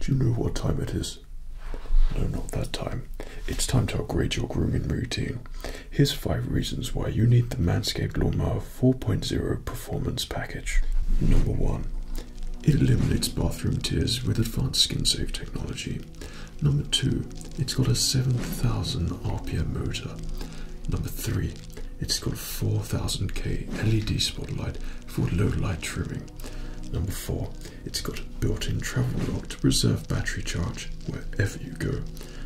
Do you know what time it is? No, not that time. It's time to upgrade your grooming routine. Here's five reasons why you need the Manscaped Lawnmower 4.0 Performance Package. Number one, it eliminates bathroom tears with advanced skin safe technology. Number two, it's got a 7,000 RPM motor. Number three, it's got a 4000K LED spotlight for low light trimming. Number four, it's got a built-in travel lock to preserve battery charge wherever you go.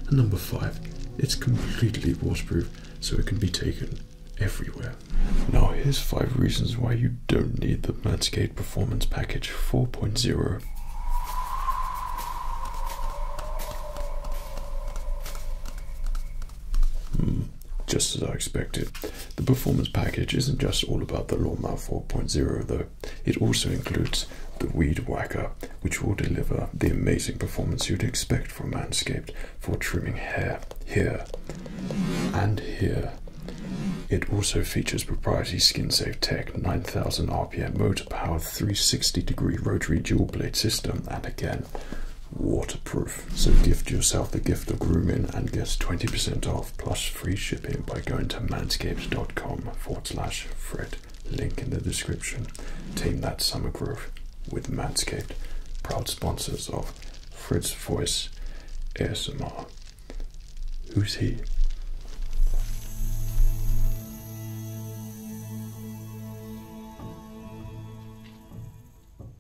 And number five, it's completely waterproof so it can be taken everywhere. Now here's five reasons why you don't need the Manscaped Performance Package 4.0. Just as I expected. The performance package isn't just all about the Lawnmower 4.0 though, it also includes the Weed Whacker, which will deliver the amazing performance you'd expect from Manscaped for trimming hair here and here. It also features proprietary Skin Safe Tech 9000 RPM motor powered 360 degree rotary dual blade system and again waterproof. So gift yourself the gift of grooming and get 20% off plus free shipping by going to manscapes.com forward slash Fred. Link in the description. Team that summer groove with Manscaped, proud sponsors of Fred's Voice ASMR. Who's he?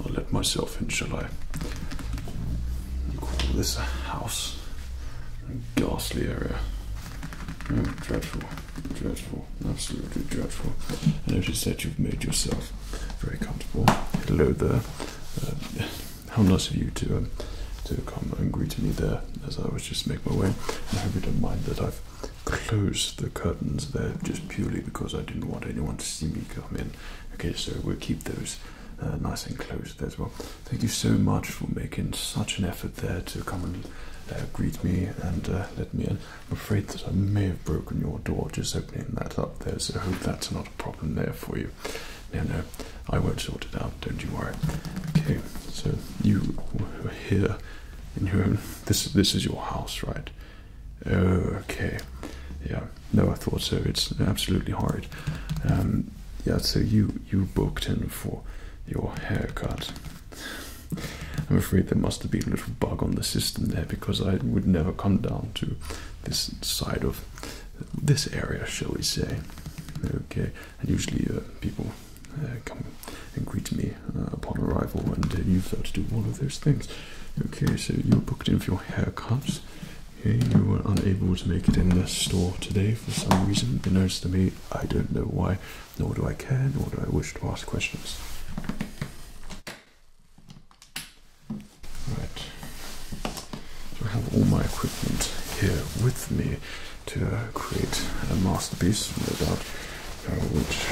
I'll let myself in, shall I? Call this a house. A ghastly area. Hmm, dreadful, dreadful, absolutely dreadful. I notice that you've made yourself very comfortable. Hello there. Uh, how nice of you to um, to come and greet me there as I was just make my way. I hope you don't mind that I've closed the curtains there just purely because I didn't want anyone to see me come in. Okay, so we'll keep those uh, nice, and close there as well. Thank you so much for making such an effort there to come and uh, greet me and uh, let me in. I'm afraid that I may have broken your door just opening that up there, so I hope that's not a problem there for you. No, no, I won't sort it out. Don't you worry. Okay, so you were here in your own. This this is your house, right? Okay, yeah, no, I thought so. It's absolutely hard. Um, yeah, so you you booked in for your haircut. I'm afraid there must have been a little bug on the system there because I would never come down to this side of this area, shall we say? Okay, and usually uh, people uh, come and greet me uh, upon arrival, and you've got to do all of those things. Okay, so you booked in for your haircut. Okay, you were unable to make it in the store today for some reason, unbeknownst to me. I don't know why, nor do I care, nor do I wish to ask questions. Right. I have all my equipment here with me to uh, create a masterpiece, no doubt, uh, which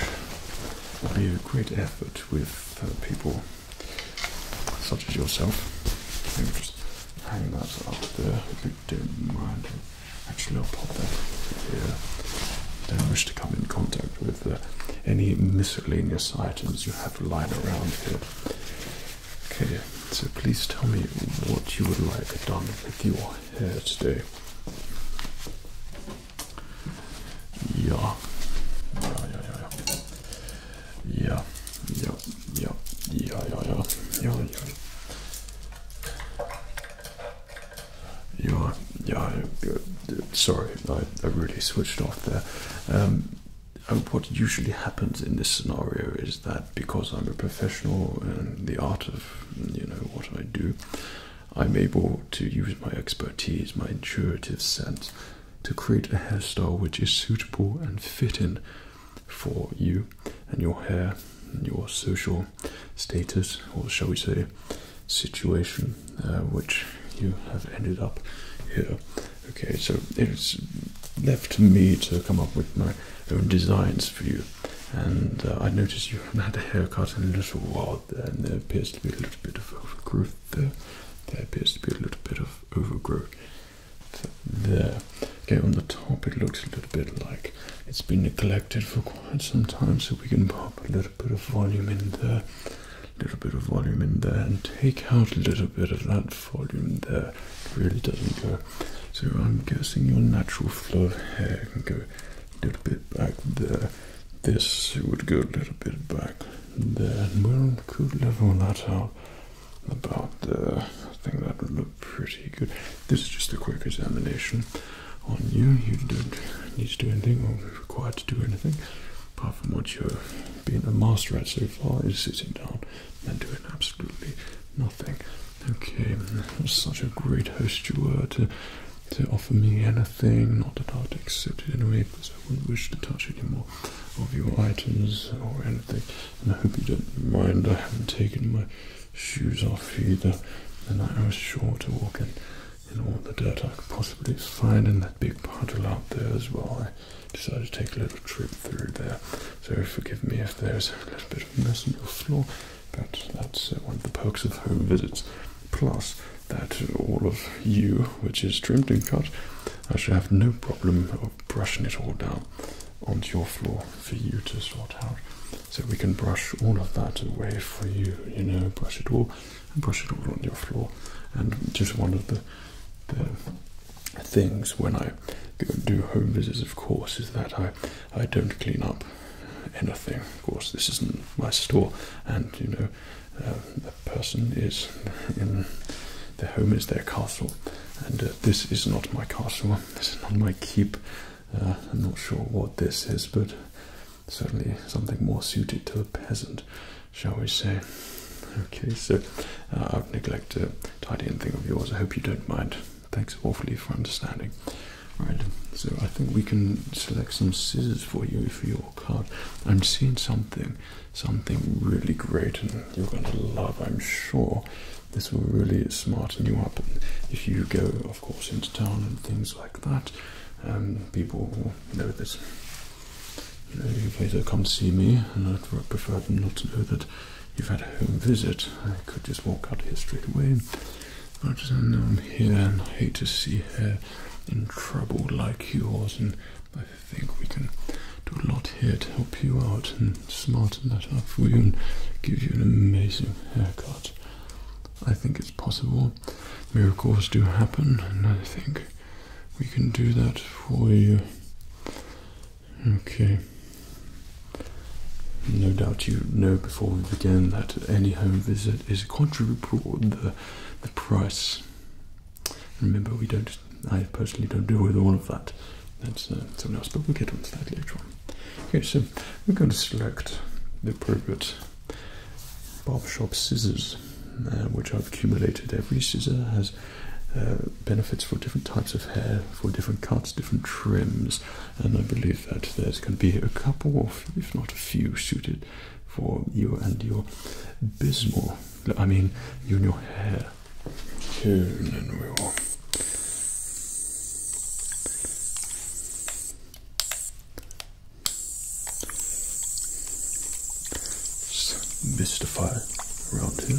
will be a great effort with uh, people such as yourself. Maybe just hang that up there if you don't mind. Actually, I'll pop that here. I don't wish to come in contact with uh, any miscellaneous items you have lying around here. Okay, so please tell me what you would like done with your hair today. Yeah. Yeah, yeah, yeah, yeah. Yeah, yeah, yeah, yeah, yeah, yeah, yeah, yeah. Yeah, yeah, sorry, I, really switched off there. Um, what usually happens in this scenario is that because I'm a professional in the art of you know what I do, I'm able to use my expertise, my intuitive sense, to create a hairstyle which is suitable and fitting for you and your hair and your social status, or shall we say, situation uh, which you have ended up here. Okay, so it's left to me to come up with my own designs for you. And uh, I noticed you haven't had a haircut in a little while, and there appears to be a little bit of overgrowth there. There appears to be a little bit of overgrowth there. Okay, on the top it looks a little bit like it's been neglected for quite some time, so we can pop a little bit of volume in there, a little bit of volume in there, and take out a little bit of that volume there. It really doesn't go. So I'm guessing your natural flow of hair can go a little bit back there this would go a little bit back Then we could level that out about there. I think that would look pretty good. This is just a quick examination on you. You don't need to do anything or be required to do anything. Apart from what you've been a master at so far is sitting down and doing absolutely nothing. Okay, such a great host you were to to offer me anything, not that I'd accept it anyway, I wouldn't wish to touch any more of your items or anything. And I hope you don't mind. I haven't taken my shoes off either, and I was sure to walk in in all the dirt I could possibly find in that big puddle out there as well. I decided to take a little trip through there, so forgive me if there's a little bit of mess on your floor, but that's uh, one of the perks of home visits plus that all of you, which is trimmed and cut, I should have no problem of brushing it all down onto your floor for you to sort out. So we can brush all of that away for you, you know, brush it all and brush it all on your floor. And just one of the, the things when I do home visits, of course, is that I, I don't clean up anything. Of course, this isn't my store, and you know, uh, the person is in the home is their castle, and uh, this is not my castle. This is not my keep. Uh, I'm not sure what this is, but certainly something more suited to a peasant, shall we say? Okay, so i have neglected tidying tidy anything of yours. I hope you don't mind. Thanks awfully for understanding. Right, so I think we can select some scissors for you for your card. I'm seeing something something really great and you're going to love, I'm sure. This will really smarten you up. if you go, of course, into town and things like that, um, people will know that. You know, okay, they come to see me, and I'd prefer them not to know that you've had a home visit. I could just walk out here straight away. But I just know I'm here and I hate to see her in trouble like yours, and I think we can do a lot here to help you out and smarten that up for you and give you an amazing haircut. I think it's possible. Miracles do happen, and I think we can do that for you. Okay. No doubt you know before we begin that any home visit is quadruple the the price Remember, we don't. I personally don't deal with all of that. That's uh, something else, but we'll get onto that later on. Okay, so we're going to select the appropriate barbershop scissors, uh, which I've accumulated. Every scissor has uh, benefits for different types of hair, for different cuts, different trims, and I believe that there's going to be a couple, if not a few, suited for you and your bismal. I mean, you and your hair. And we will. Just mystify around here.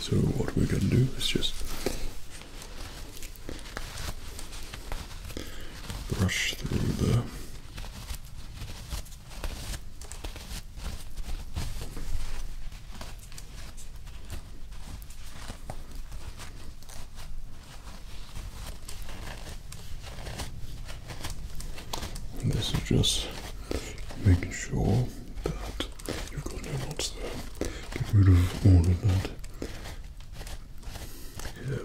So what we're going to do is just brush through the this is just making sure that You've got no Get rid of all of that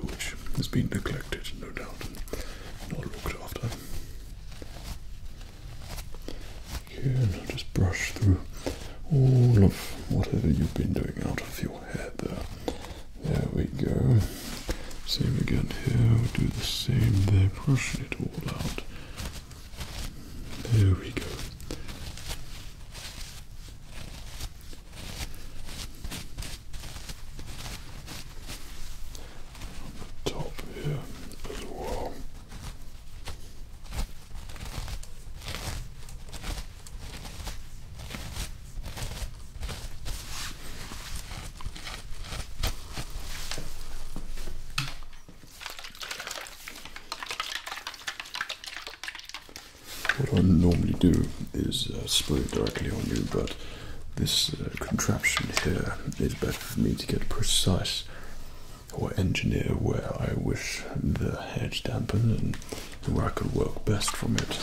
which has been neglected, no doubt, and not looked after. and just brush through all of whatever you've been doing out of your hair there. There we go. Same again here, do the same there, brushing it all out. There we go. On the top here as well. What I normally do is uh, spray it directly on you, but this uh, contraption here is better for me to get precise or engineer where I wish the hedge dampened and where I could work best from it.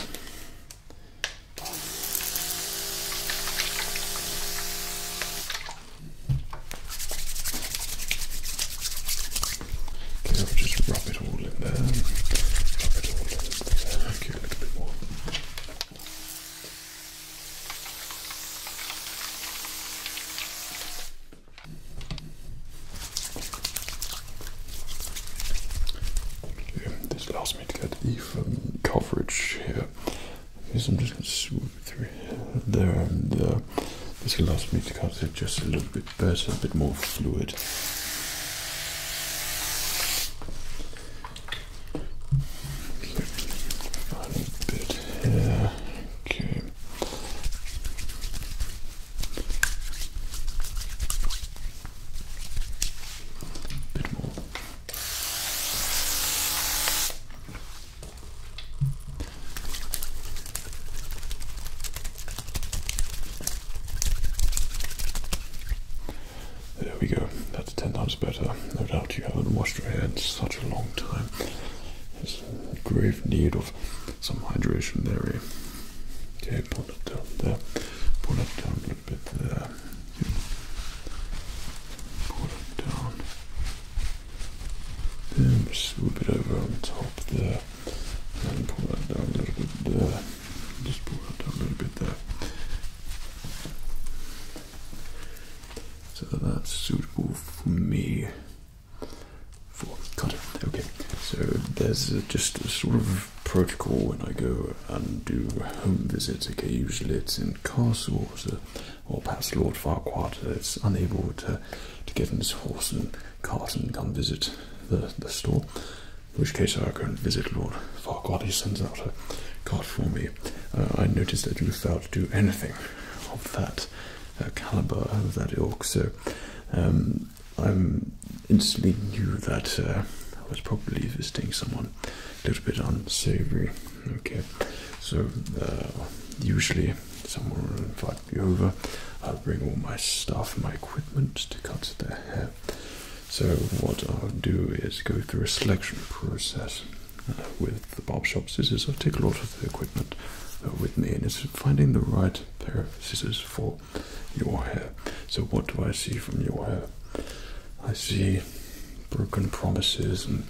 Okay, I'll just rub it all in there. Rub it all in Okay, a little bit more. This allows me to get even coverage here. Yes, I'm just going to three there and there. Uh, this allows me to cut it just a little bit better, a bit more fluid. Okay. Final bit here. Okay. Bit more. There we go. That's ten times better. No doubt you haven't washed your hair in such a long time. There's grave need of some hydration there. Eh? Okay, pull it down there. Pull it down a bit there. Pull it down. Just swoop it over on top there and pull that down a little bit there. Just pull that down a little bit there. So that's suitable for me. For, got it. Okay. So there's just a sort of protocol when I go and do home visits. Okay, usually it's in castles. Uh, or perhaps Lord Farquhar uh, is unable to, get in his horse and cart and come visit the, store. In which case I go and visit Lord Farquhar. He sends out a card for me. Uh, I noticed that you failed to do anything of that uh, caliber, of that ilk, so um, I instantly knew that uh, I was probably visiting someone a little bit unsavory. Okay, so usually Someone will invite me over. I'll bring all my stuff, my equipment to cut their hair. So what I'll do is go through a selection process uh, with the barb shop scissors. I take a lot of the equipment uh, with me, and it's finding the right pair of scissors for your hair. So what do I see from your hair? I see broken promises and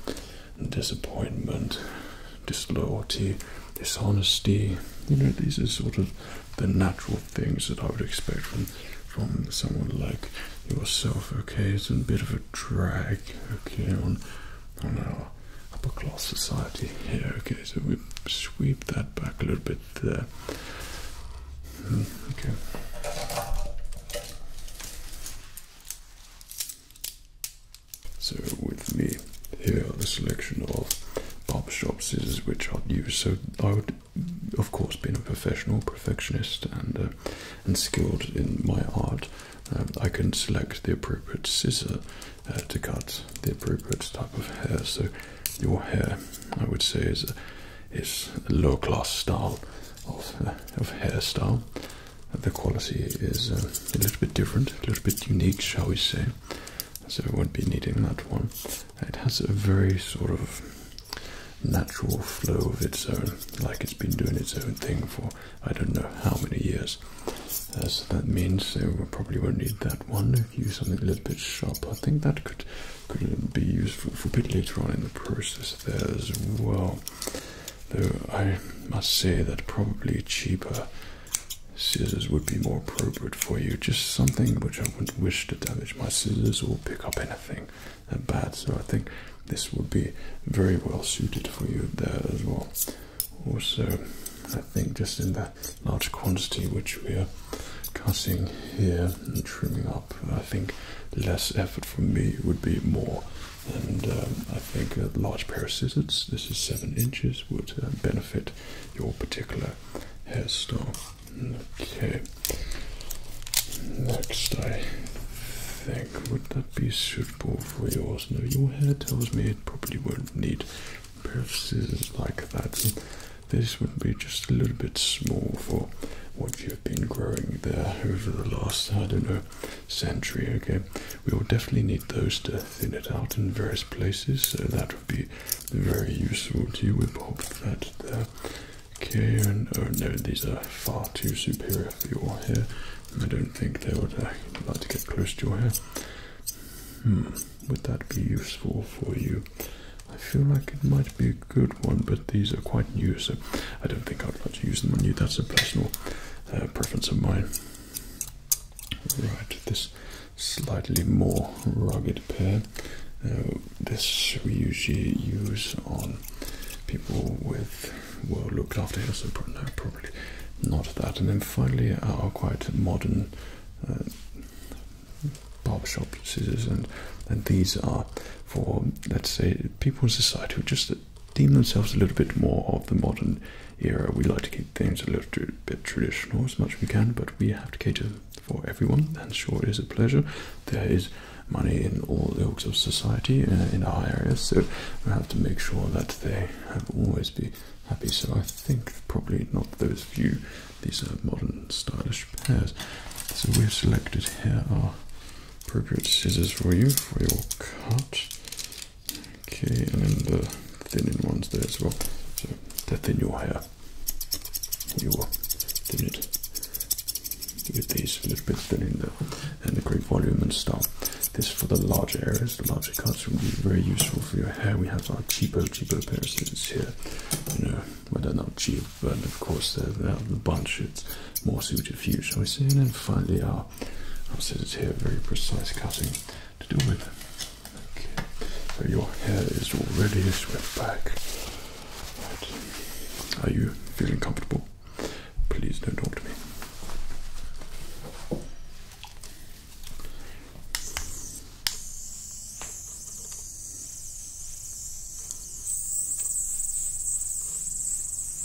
disappointment, disloyalty, dishonesty. You know, these are sort of the natural things that I would expect from from someone like yourself. Okay, it's a bit of a drag. Okay, on on our upper class society here. Okay, so we sweep that back a little bit there. Hmm, okay. So with me here are the selection of barber barbershop scissors which I'd use. So I would, of course, being a professional perfectionist and uh, and skilled in my art, um, I can select the appropriate scissor uh, to cut the appropriate type of hair. So your hair, I would say, is a, is a lower class style of uh, of hairstyle the quality is uh, a little bit different, a little bit unique, shall we say. So I won't be needing that one. It has a very sort of natural flow of its own, like it's been doing its own thing for I don't know how many years. Uh, that means I probably won't need that one. Use something a little bit sharp. I think that could could be useful for a bit later on in the process there as well. Though I must say that probably cheaper scissors would be more appropriate for you. Just something which I wouldn't wish to damage my scissors or pick up anything bad. So I think this would be very well suited for you there as well. Also, I think just in the large quantity which we are cutting here and trimming up, I think less effort from me would be more and um, I think a large pair of scissors, this is 7 inches, would uh, benefit your particular hairstyle. Okay, next I think, would that be suitable for yours? No, your hair tells me it probably won't need a pair of scissors like that. this would be just a little bit small for what you've been growing there over the last, I don't know, century. Okay, we will definitely need those to thin it out in various places, so that would be very useful to you. we hope that the Okay, and oh no, these are far too superior for your hair. I don't think they would uh, like to get close to your hair. Hmm, would that be useful for you? I feel like it might be a good one, but these are quite new, so I don't think I'd like to use them on you. That's a personal uh, preference of mine. Right, this slightly more rugged pair. this we usually use on people with well looked after hair, so probably not that. And then finally, our quite modern uh, barbershop scissors, and, and these are for let's say people in society who just deem themselves a little bit more of the modern era. We like to keep things a little bit traditional as much as we can, but we have to cater for everyone, and sure, it is a pleasure. There is money in all ilks of society uh, in our areas, so we have to make sure that they have always be happy. So I think probably not those few. These are modern stylish pairs. So we've selected here our appropriate scissors for you for your cut. Okay, and then the thinning ones there as well. So to thin your hair, you thin it with these a little bit thinning the and the great volume and stuff. This for the larger areas, the larger cuts will be very useful for your hair. We have our cheapo cheapo pair of scissors here. You know, well they're not cheap, but of course they're, out of the bunch. It's more suited for you, shall we say? And then finally our I'll set it here, very precise cutting to do with. Okay, your hair is already swept back. Are you feeling comfortable? Please don't talk to me.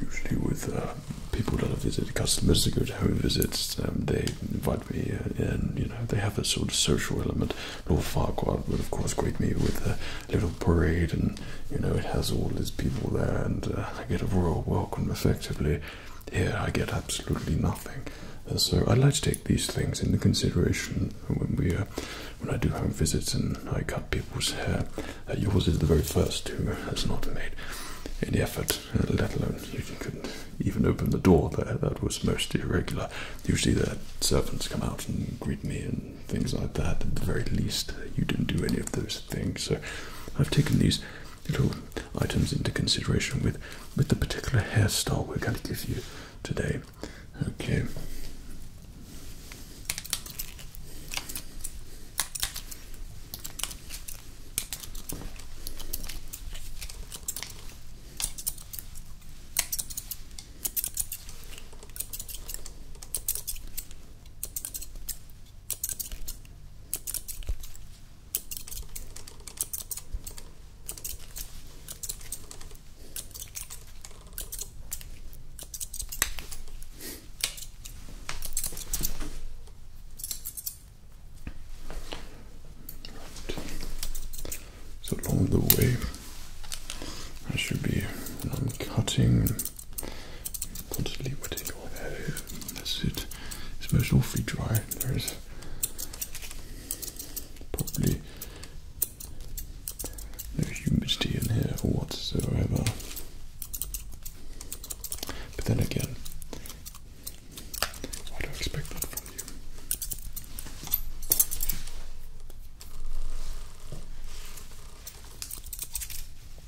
Usually, with uh, people that I visit, customers that go to home visits, um, they invite me uh, in. You know, they have a sort of social element. North Farquhar would, of course, greet me with a little parade and you know it has all these people there, and uh, I get a royal welcome effectively. Here I get absolutely nothing. Uh, so I'd like to take these things into consideration when we, uh, when I do home visits and I cut people's hair. yours is the very first who has not made any effort, let alone you couldn't even open the door there. That was most irregular. Usually the servants come out and greet me things like that. At the very least, you didn't do any of those things. So I've taken these little items into consideration with with the particular hairstyle we're going to give you today. Okay. So along the way, I should be um, cutting constantly wetting your hair unless it is most awfully dry. There is probably no humidity in here whatsoever. But then again, what do I expect that from you.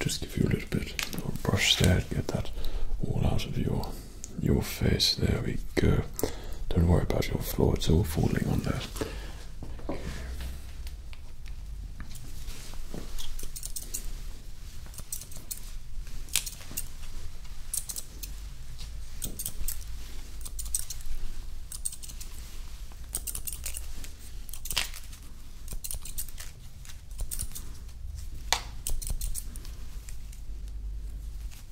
just give you a little bit of brush there, get that all out of your your face. There we go. Don't worry about your floor, it's all falling on that.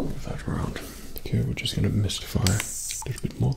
move that around. Okay, we're just going to mystify a little bit more.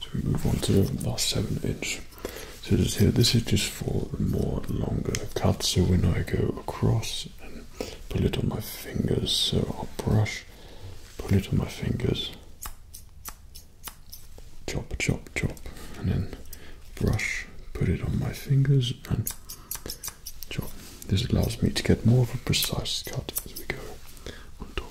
so we move on to the last seven inch. So this here, this is just for more longer cuts. So when I go across and pull it on my fingers, so i brush, pull it on my fingers, chop, chop, chop, and then brush, put it on my fingers, and this allows me to get more of a precise cut as we go on top.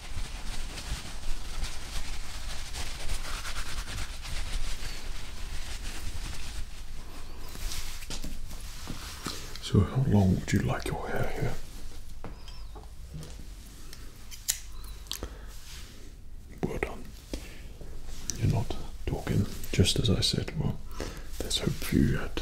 So, how long would you like your hair here? Well done. You're not talking just as I said. Well, there's hope for you yet.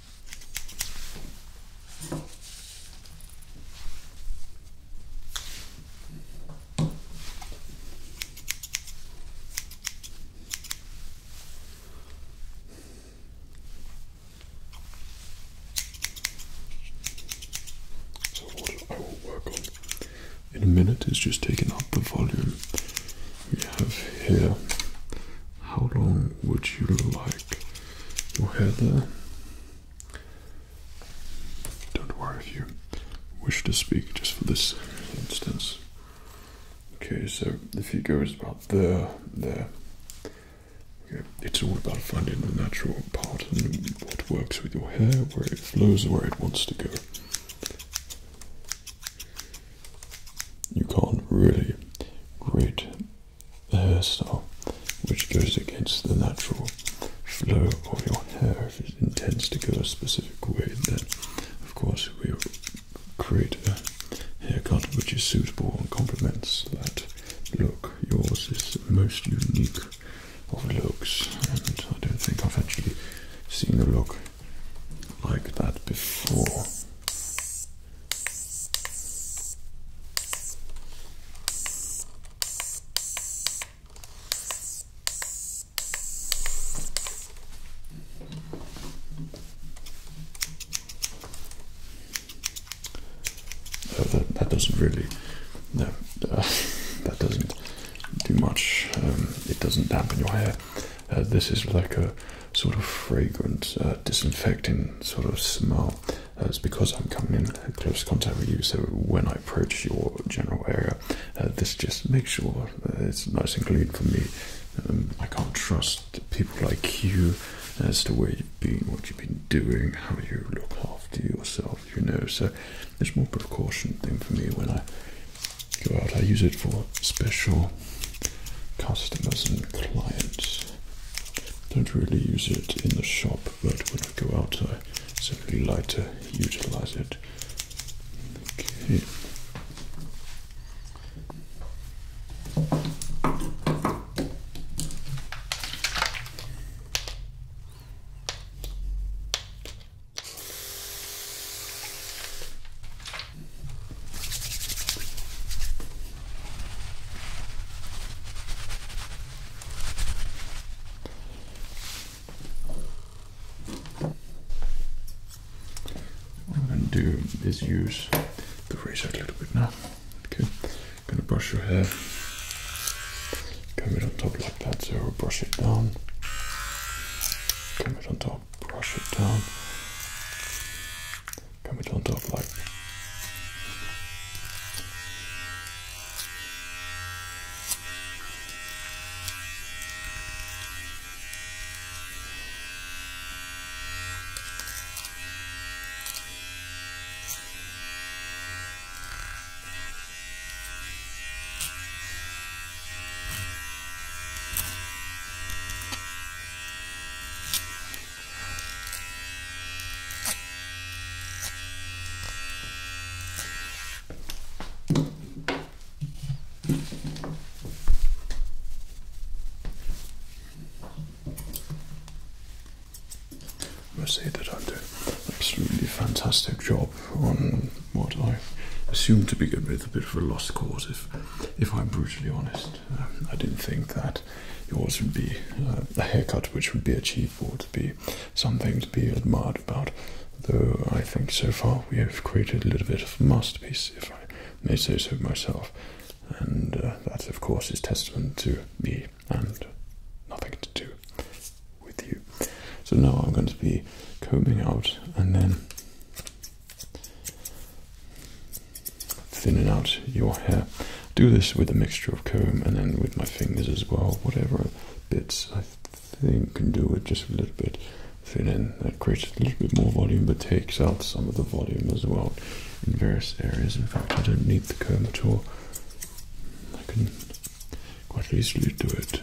So what I will work on in a minute is just taking up the volume we have here. How long would you like your hair there. Uh, don't worry if you wish to speak just for this instance. Okay, so the figure is about there, there. Okay. It's all about finding the natural part and what works with your hair, where it flows, where it wants to go. You can't really grade the hairstyle, which goes against the natural flow of your hair. If it intends to go a specific way, then of course we will create a haircut which is suitable and complements that look. Yours is the most unique of looks, and I don't think I've actually seen a look like that before. Uh, that, doesn't really, no, uh, that doesn't do much. Um, it doesn't dampen your hair. Uh, this is like a sort of fragrant, uh, disinfecting sort of smell. it's because I'm coming in close contact with you, so when I approach your general area, uh, this just makes sure it's nice and clean for me. Um, I can't trust people like you as to where you've been, what you've been doing, how you look after yourself, you know. So it's more precaution thing for me when I go out. I use it for special customers and clients don't really use it in the shop, but when I go out, I simply like to utilize it. Okay. What I'm going to do is use the razor a little bit now. Okay, I'm going to brush your hair, comb it on top like that, so brush it down, comb it on top, brush it down. Can we turn it off like? I must say that I did an absolutely fantastic job on what I assume to be with a bit of a lost cause, if, if I'm brutally honest. Um, I didn't think that yours would be uh, a haircut which would be achievable to be something to be admired about. Though I think so far we have created a little bit of a masterpiece, if I may say so myself. And uh, that, of course, is testament to me and nothing to do with you. So now I'm going to be combing out and then Thinning out your hair. Do this with a mixture of comb and then with my fingers as well. Whatever bits I think can do it just a little bit. Thin that creates a little bit more volume but takes out some of the volume as well in various areas. In fact, I don't need the comb at all. I can quite easily do it.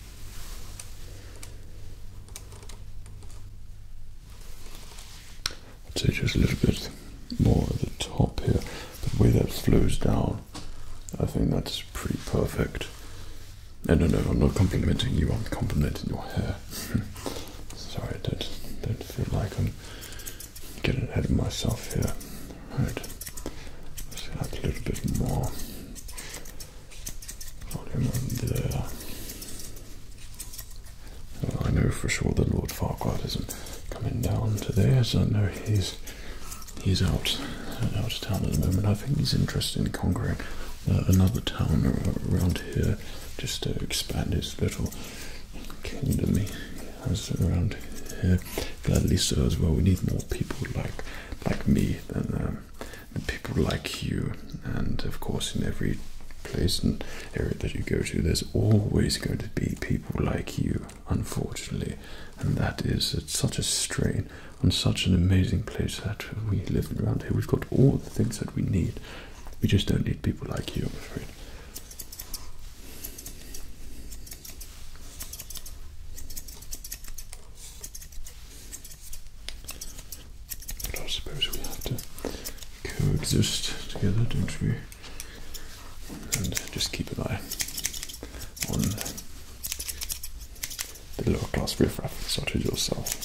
I'll take just a little bit more at the top here. The way that flows down, I think that's pretty perfect. No, no, no, I'm not complimenting you, I'm complimenting your hair. Sorry, I don't, don't feel like I'm getting ahead of myself here. Right, let add a little bit more. I know for sure that Lord Farquhar isn't coming down today, so I know he's he's out out of town at the moment. I think he's interested in conquering uh, another town around here, just to expand his little kingdom he around here. Gladly so as well. We need more people like like me than um, people like you. And of course, in every place and area that you go to, there's always going to be people like you, unfortunately. And that is such a strain on such an amazing place that we live around here. We've got all the things that we need. We just don't need people like you, I'm afraid. But I suppose we have to coexist together, don't we? And just keep an eye on the lower class riffraff, such as yourself.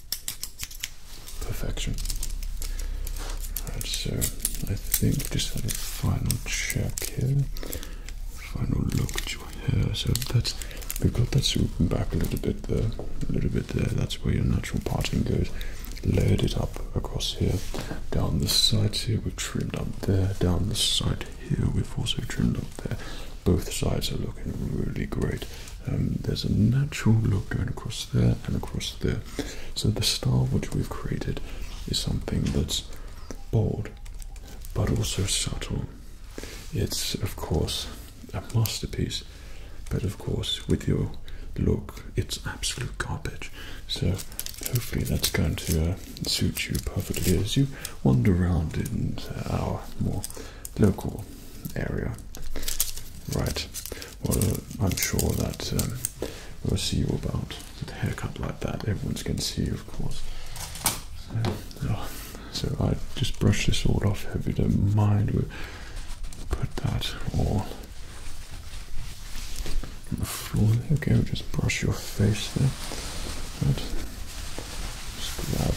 Perfection. Alright, so I think just have a final check here. Final look at your hair. So that's we've got that swooping back a little bit there, a little bit there. That's where your natural parting goes. Layered it up across here, down the side here, we've trimmed up there, down the side here, we've also trimmed up there. Both sides are looking really great. Um, there's a natural look going across there and across there. So the style which we've created is something that's bold but also subtle. It's of course a masterpiece, but of course with your look it's absolute garbage. So hopefully that's going to uh, suit you perfectly as you wander around in our more local area. Right. Well, uh, I'm sure that um, we'll see you about the haircut like that. Everyone's going to see you, of course. So, oh, I just brush this all off. If you don't mind, we'll put that all on the floor. There we go. Just brush your face there. Right. Just grab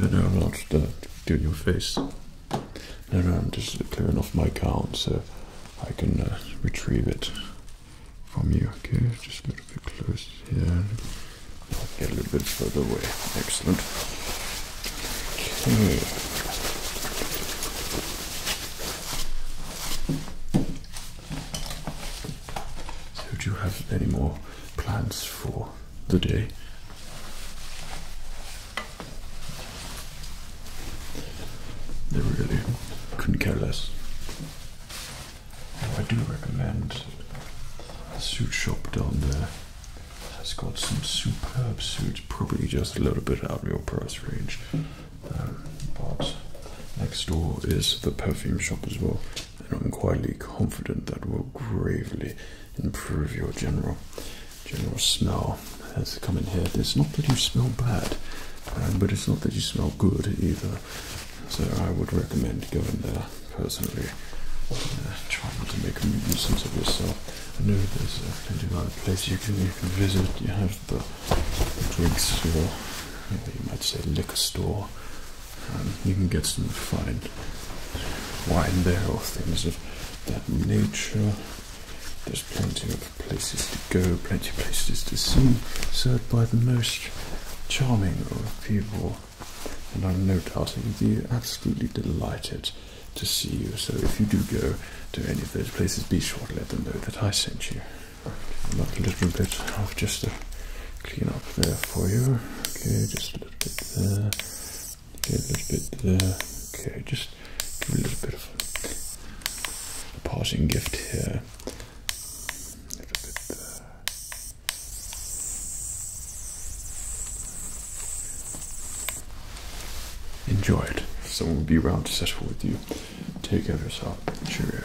And I'm not uh, doing your face. No, I'm just clearing off my gown so I can uh, retrieve it from you. Okay, just a little bit close here. get a little bit further away. Excellent. Okay. So, do you have any more plans for the day? They really couldn't care less. I do recommend the suit shop down there. Has got some superb suits, probably just a little bit out of your price range um, Next door is the perfume shop as well, and I'm quietly confident that will gravely improve your general general smell as you come in here. It's not that you smell bad, um, but it's not that you smell good either. So I would recommend going there personally. Uh, trying to make a nuisance of yourself. I know there's uh, plenty of other places you can you can visit. You have the drinks store, you might say liquor store. Um, you can get some fine wine there or things of that nature. There's plenty of places to go, plenty of places to see, served by the most charming of people. And I'm no doubting they're absolutely delighted to see you. So if you do go to any of those places, be sure to let them know that I sent you. About a little bit of just a clean up there for you. Okay, just a little bit there. Okay, a little bit there. Okay, just give a little bit of a parting gift here. A little bit there. Enjoy it. Someone will be around to settle with you. Take care of yourself. Cheerio.